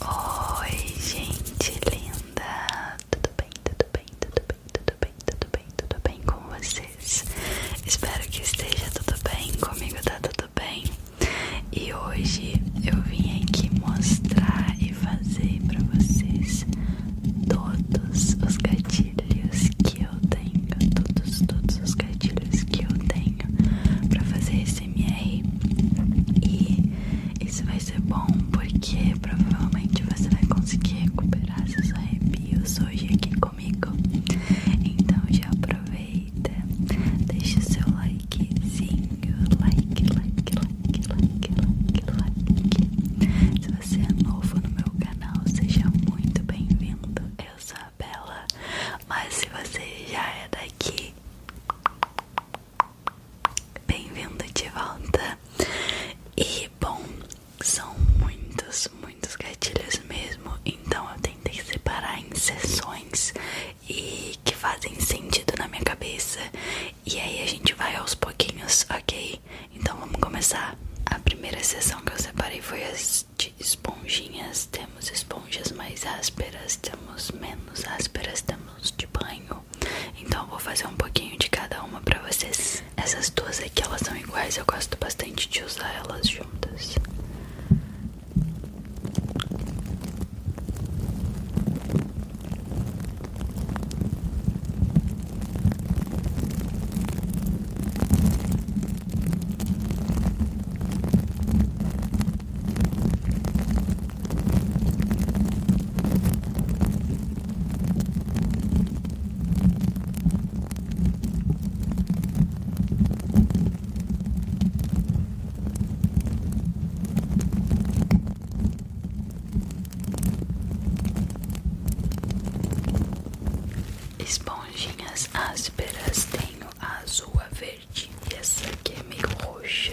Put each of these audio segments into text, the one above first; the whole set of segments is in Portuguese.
Oi, gente linda! Tudo bem, tudo bem, tudo bem, tudo bem, tudo bem, tudo bem com vocês? Espero que esteja tudo bem, comigo tá tudo bem. E hoje eu vim aqui mostrar e fazer para vocês todos os gatilhos que eu tenho, todos, todos os gatilhos que eu tenho para fazer esse e isso vai ser bom porque provavelmente você vai conseguir recuperar seus arrepios hoje aqui comigo. Então já aproveita, deixa seu likezinho, like, like, like, like, like, like. Se você é novo no meu canal, seja muito bem-vindo. Eu sou a Bela, mas se você já é daqui Bem-vindo de volta. E bom, são muitos, muitos gatilhos mesmo, então eu tentei separar em sessões e que fazem sentido na minha cabeça. E aí a gente vai aos pouquinhos, ok? Então vamos começar. A primeira sessão que eu separei foi as de esponjinhas temos esponjas mais ásperas, temos menos ásperas, temos de banho. Então eu vou fazer um pouquinho de cada uma pra vocês. Essas duas aqui elas são iguais, eu gosto bastante de usar elas juntas. Esponjinhas ásperas têm azul, a verde e essa aqui é meio roxa.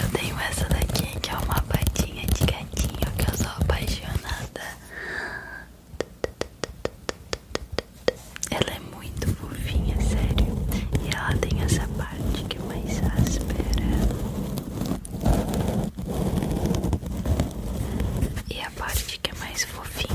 Eu tenho essa daqui que é uma patinha de gatinho que eu sou apaixonada. Ela é muito fofinha, sério. E ela tem essa parte que é mais áspera. E a parte que é mais fofinha.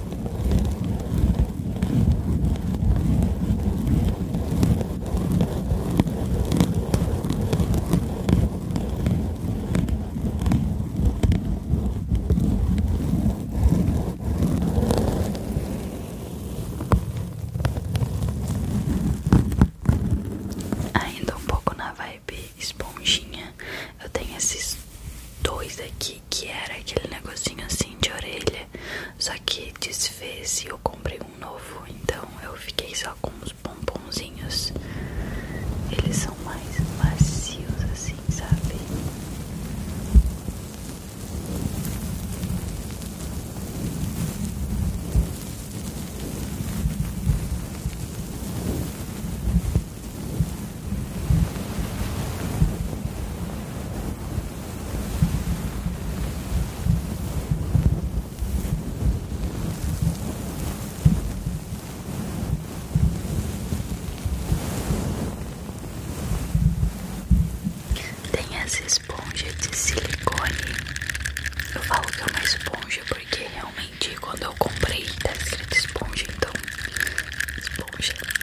Ainda um pouco na vibe esponjinha, eu tenho esses dois aqui que, era aquele negocinho assim de orelha. Só que desfez e eu comprei um novo. Então eu fiquei só com os pomponzinhos. Eles são mais macios assim, sabe? Tem essa esponja de silicone. Eu falo que é uma esponja porque realmente quando eu comprei tá escrita esponja, então esponja.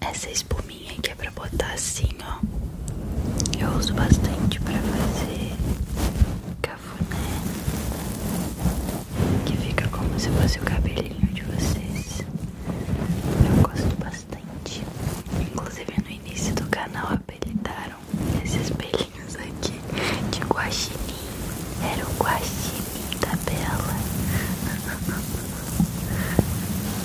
essa espuminha aqui é pra botar assim, ó. Eu uso bastante pra fazer cafuné, que fica como se fosse o cabelinho de vocês. Eu gosto bastante. Inclusive no início do canal apelidaram esses pelinhos aqui de guaxinim. Era o guaxinim da Bela.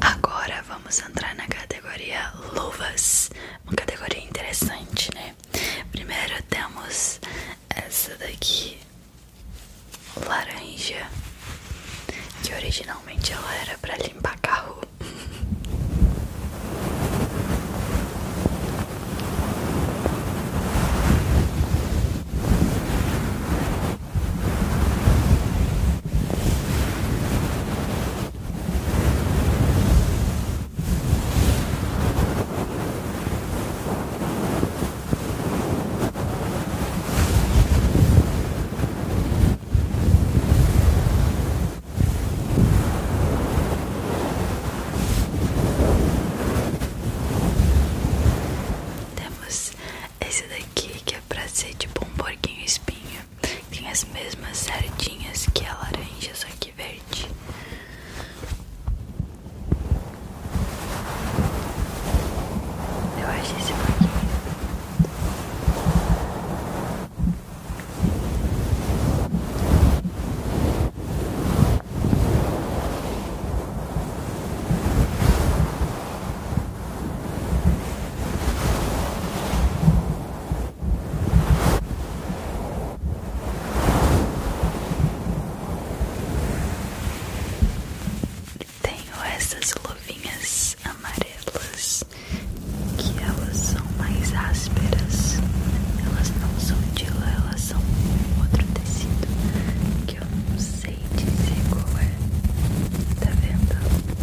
Agora vamos vamos entrar na categoria luvas. Uma categoria interessante, né? Primeiro temos essa daqui, laranja, que originalmente ela era para limpar carro. Temos esse daqui que é pra ser de tipo um porquinho espinho tem as mesmas sardinhas que a laranja, só que verde. Eu acho esse pouquinho. Tenho essas luvinhas amarelas que elas são mais ásperas, elas não são de lã, elas são um outro tecido que eu não sei dizer qual é. Tá vendo?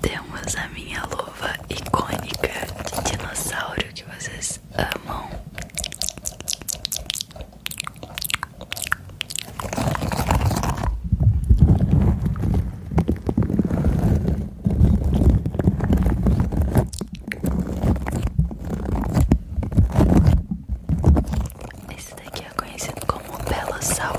Temos a minha luva icônica de dinossauro que vocês amam. Esse daqui é conhecido como um Belossauro.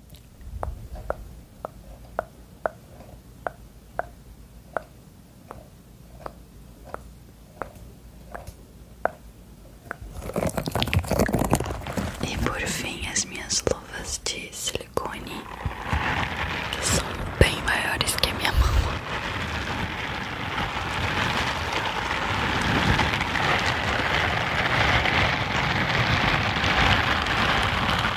E por fim, as minhas luvas de silicone, que são bem maiores que a minha mão.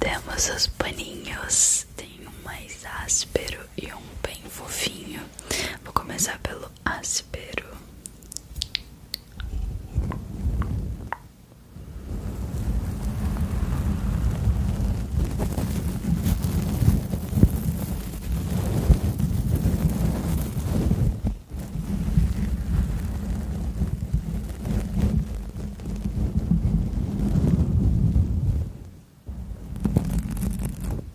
Temos os paninhos, tem um mais áspero e um bem fofinho. Vou começar pelo áspero.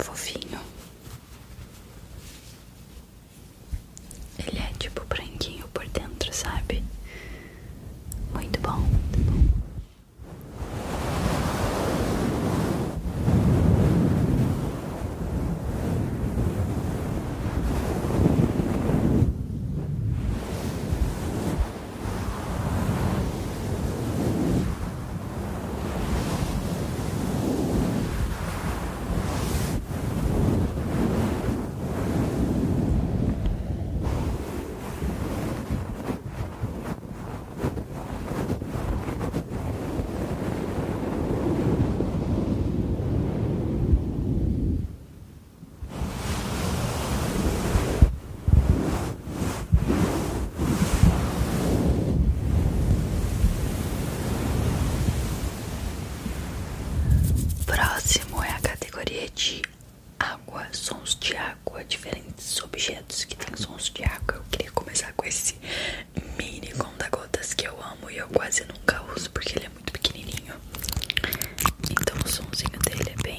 Fofinho, ele é tipo branquinho por dentro, sabe? Muito bom, muito bom. Muito Próximo é a categoria G água, sons de água, diferentes objetos que tem sons de água. Eu queria começar com esse mini conta-gotas que eu amo e eu quase nunca uso porque ele é muito pequenininho. Então o somzinho dele é bem.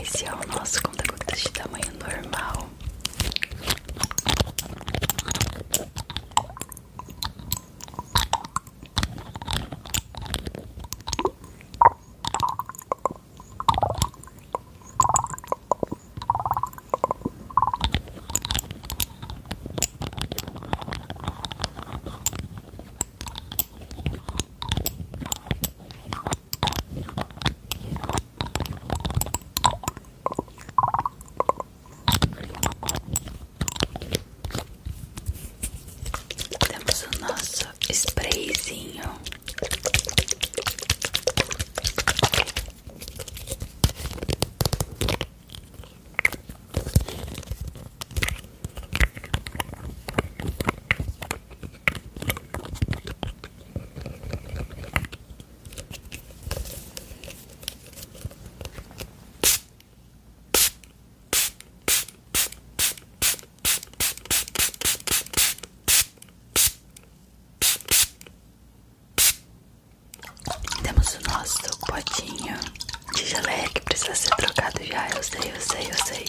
Esse é o nosso conta-gotas de tamanho normal. Temos o nosso sprayzinho. Temos o nosso potinho de geleia que precisa ser trocado já. Eu sei, eu sei, eu sei.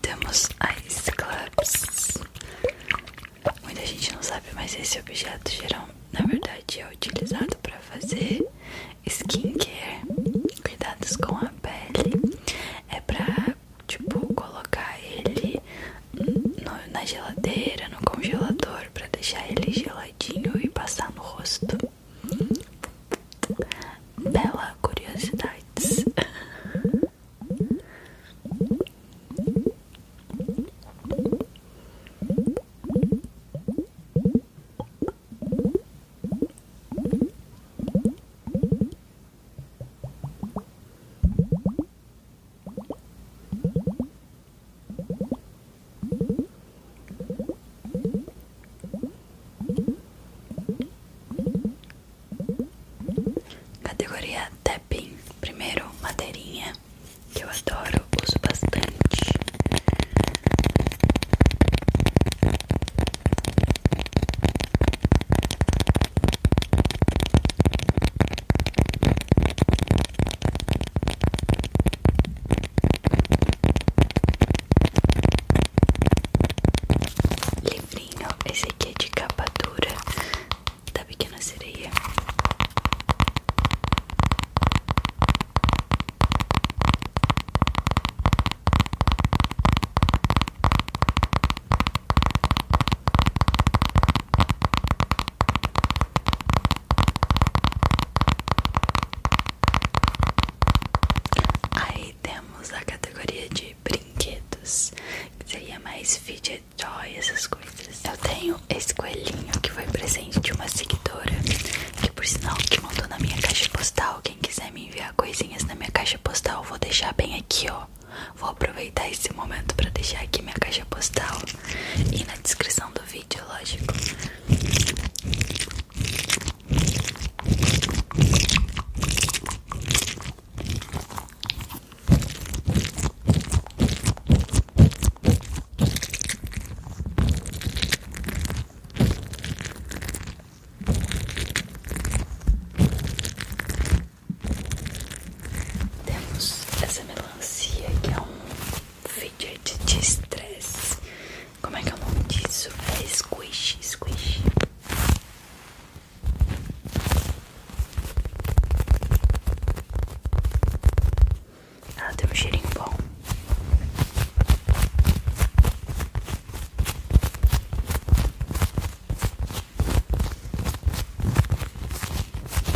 Temos Ice Clubs. Muita gente não sabe, mas esse objeto geral, na verdade, é utilizado para fazer skincare, cuidados com a pele. É pra, tipo, colocar ele no, na geladeira, no congelador, para deixar ele geladinho e passar no rosto. Bela curiosidade Categoria tapping, primeiro madeirinha que eu adoro, uso bastante. Livrinho, esse aqui é de capa dura da Pequena Sereia. Aí temos a categoria de brinquedos, seria mais fidget toy, essas coisas. Eu tenho esse coelhinho que foi presente de uma seguidora, que por sinal que mandou na minha caixa postal. Quem quiser me enviar coisinhas na minha caixa postal, vou deixar bem aqui, ó. Vou vou aproveitar esse momento para deixar aqui minha caixa postal e na descrição do vídeo, lógico. Temos essa melão melancia, é que é um fidget de estresse. Como é que é o nome disso? É squish, squish. Ela ah, tem um cheirinho bom.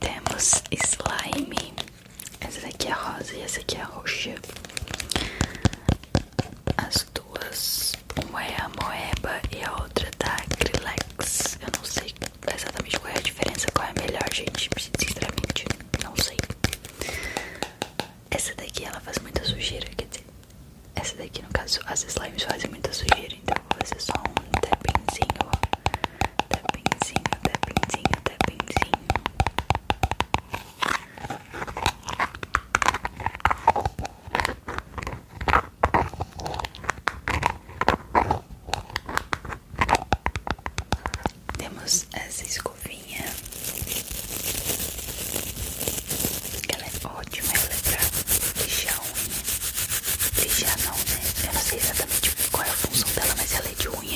Temos slime essa daqui é rosa e essa aqui é roxa. As duas, uma é a Moeba e a outra da tá Acrylex. Eu não sei exatamente qual é a diferença, qual é a melhor, gente. Sinceramente, não sei. Essa daqui ela faz muita sujeira, quer dizer, essa daqui no caso as slimes fazem muita sujeira, então vou fazer só um tappingzinho Tapenzinho, tapenzinho, tapenzinho. Temos essa escovinha que ela é ótima, ela é pra lixar unha, lixar não, né? Eu não sei exatamente qual é a função dela, mas ela é de unha.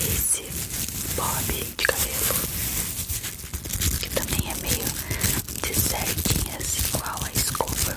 Esse bob de cabelo que também é meio de certinhas igual a escova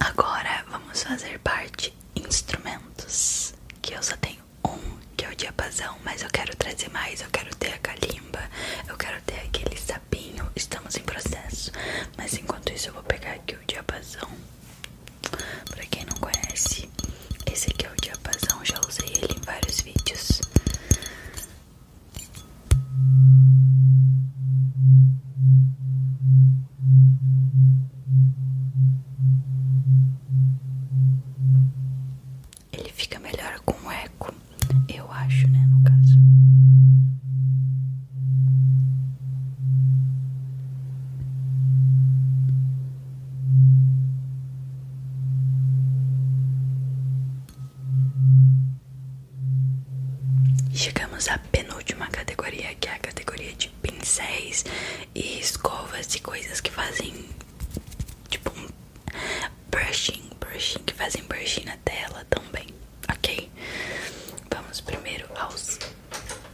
Agora vamos fazer parte instrumentos, que eu só tenho um, que é o diapasão, mas eu quero trazer mais, eu quero ter a calimba, eu quero ter aquele sapinho, estamos em processo. Mas enquanto isso eu vou pegar aqui o diapasão. Pra quem não conhece, esse aqui é o diapasão, já usei ele em vários vídeos. Ele fica melhor com eco. Eu acho, né, no caso. Chegamos à penúltima categoria, que é a categoria de pincéis e escovas e coisas que fazem tipo brushing, brushing, que fazem brushing na tela também, ok? Vamos primeiro aos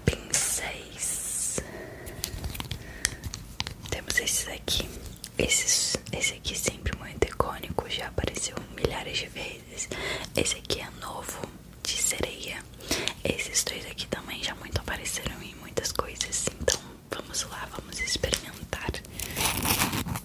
pincéis. Temos esses aqui. Esses, esse aqui sempre muito icônico, já apareceu milhares de vezes. Esse aqui é novo, de sereia. Esses dois aqui também já muito apareceram em muitas coisas, então vamos lá, vamos experimentar.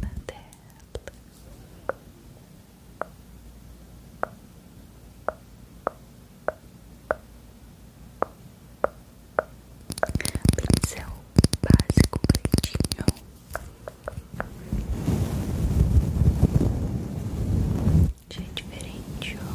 na tela. Pincel básico pretinho já é diferente, ó.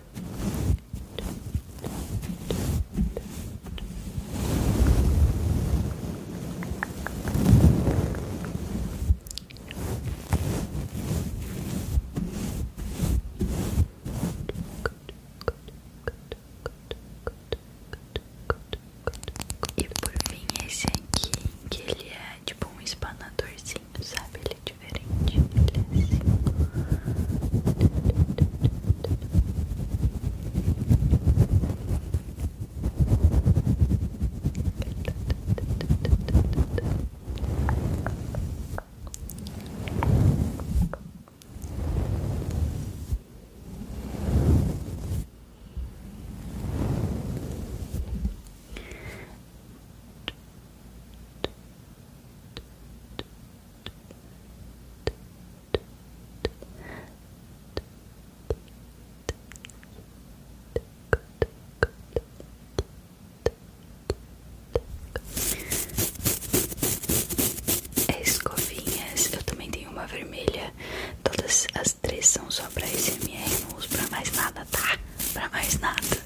boca. E por fim esse aqui, que ele é é tipo um espanadorzinho, sabe? Ele é diferente, é assim. É escovinhas, eu também tenho uma vermelha. Todas as três são só pra SMR, não uso pra mais nada, tá? para mais nada.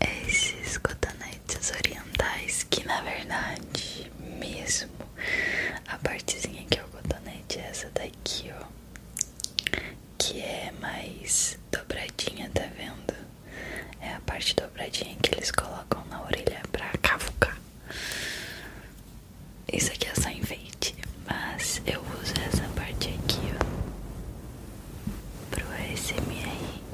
É Esses cotonetes orientais que na verdade mesmo a partezinha que é o cotonete é essa daqui, ó, que é mais dobradinha, tá vendo? É a parte dobradinha que eles colocam na orelha pra cavucar. Isso aqui é só enfeite, mas eu uso essa parte aqui, ó, pro SMR.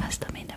Mas também dá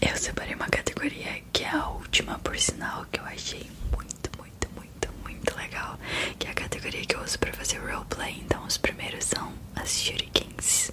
Eu separei uma categoria que é a última, por sinal, que eu achei muito, muito, muito, muito legal. Que é a categoria que eu uso pra fazer roleplay. Então, os primeiros são as shurikens.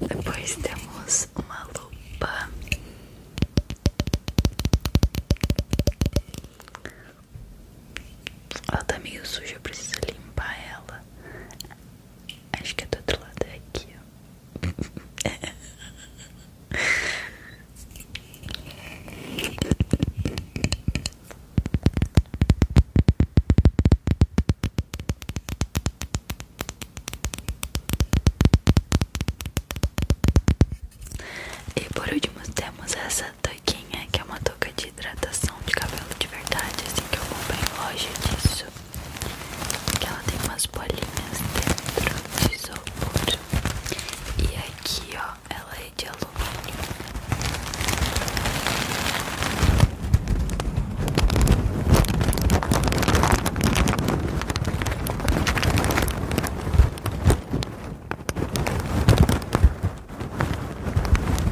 Depois temos uma lupa. Ela tá meio suja, preciso limpar ela. Acho que é do outro lado é aqui, ó. E por último temos essa toquinha que é uma touca de hidratação de cabelo de verdade, assim que eu comprei em loja disso que ela tem umas bolinhas dentro de isopor e aqui ó ela é de alumínio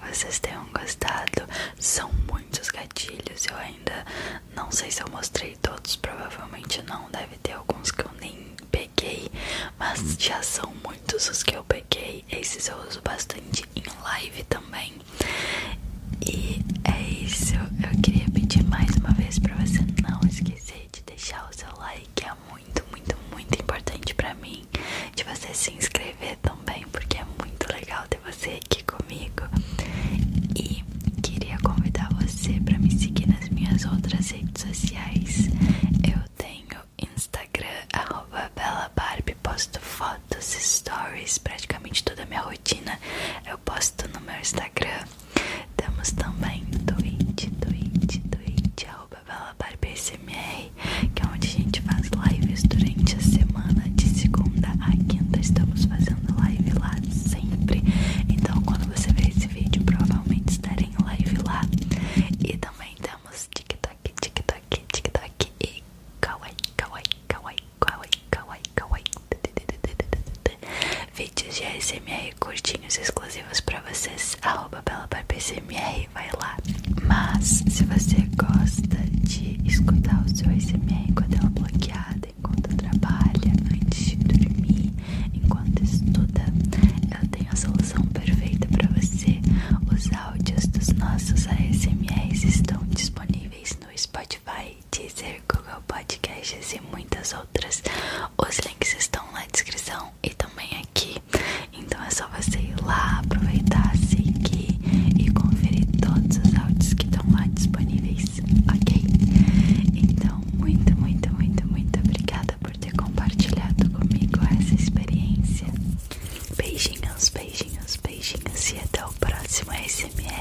que vocês tenham gostado. São muitos gatilhos, eu ainda não sei se eu mostrei todos, provavelmente não, deve ter alguns que eu nem peguei, mas hum. já são muitos os que eu peguei. Esses eu uso bastante em live também. E é isso, eu queria pedir mais uma vez para você não esquecer de deixar o seu like, é muito, muito, muito importante para mim de você se inscrever também, porque é muito legal ter você aqui comigo. E queria convidar você para me seguir nas minhas outras redes sociais. Eu tenho Instagram, arroba posto fotos, stories, praticamente toda a minha rotina eu posto no meu Instagram. Temos também Twitch, Twitch, Twitch, arroba @belabarbaSMR, que é onde a gente faz lives durante a semana de segunda a quinta. Estamos fazendo live lá sempre. Então, quando você ver esse vídeo, provavelmente estarei em live lá. E também temos TikTok, TikTok, TikTok e kawaii, kawaii, kawaii, kawaii, kawaii, kawaii. Vídeos de ASMR curtinhos exclusivos para vocês. @belabarbaSMR SMS vai lá. Mas se você gosta de escutar o seu SMS enquanto ela é bloqueada, enquanto trabalha, antes de dormir, enquanto estuda, eu tenho a solução perfeita para você. Os áudios dos nossos ASMRs estão disponíveis no Spotify, Deezer, Google Podcasts e muitas outras. Os links estão na descrição e também aqui. Então é só você ir lá, aproveitar, seguir e conferir todos os áudios que estão lá disponíveis, ok? Então, muito, muito, muito, muito obrigada por ter compartilhado comigo essa experiência. Beijinhos, beijinhos, beijinhos e até o próximo SMR.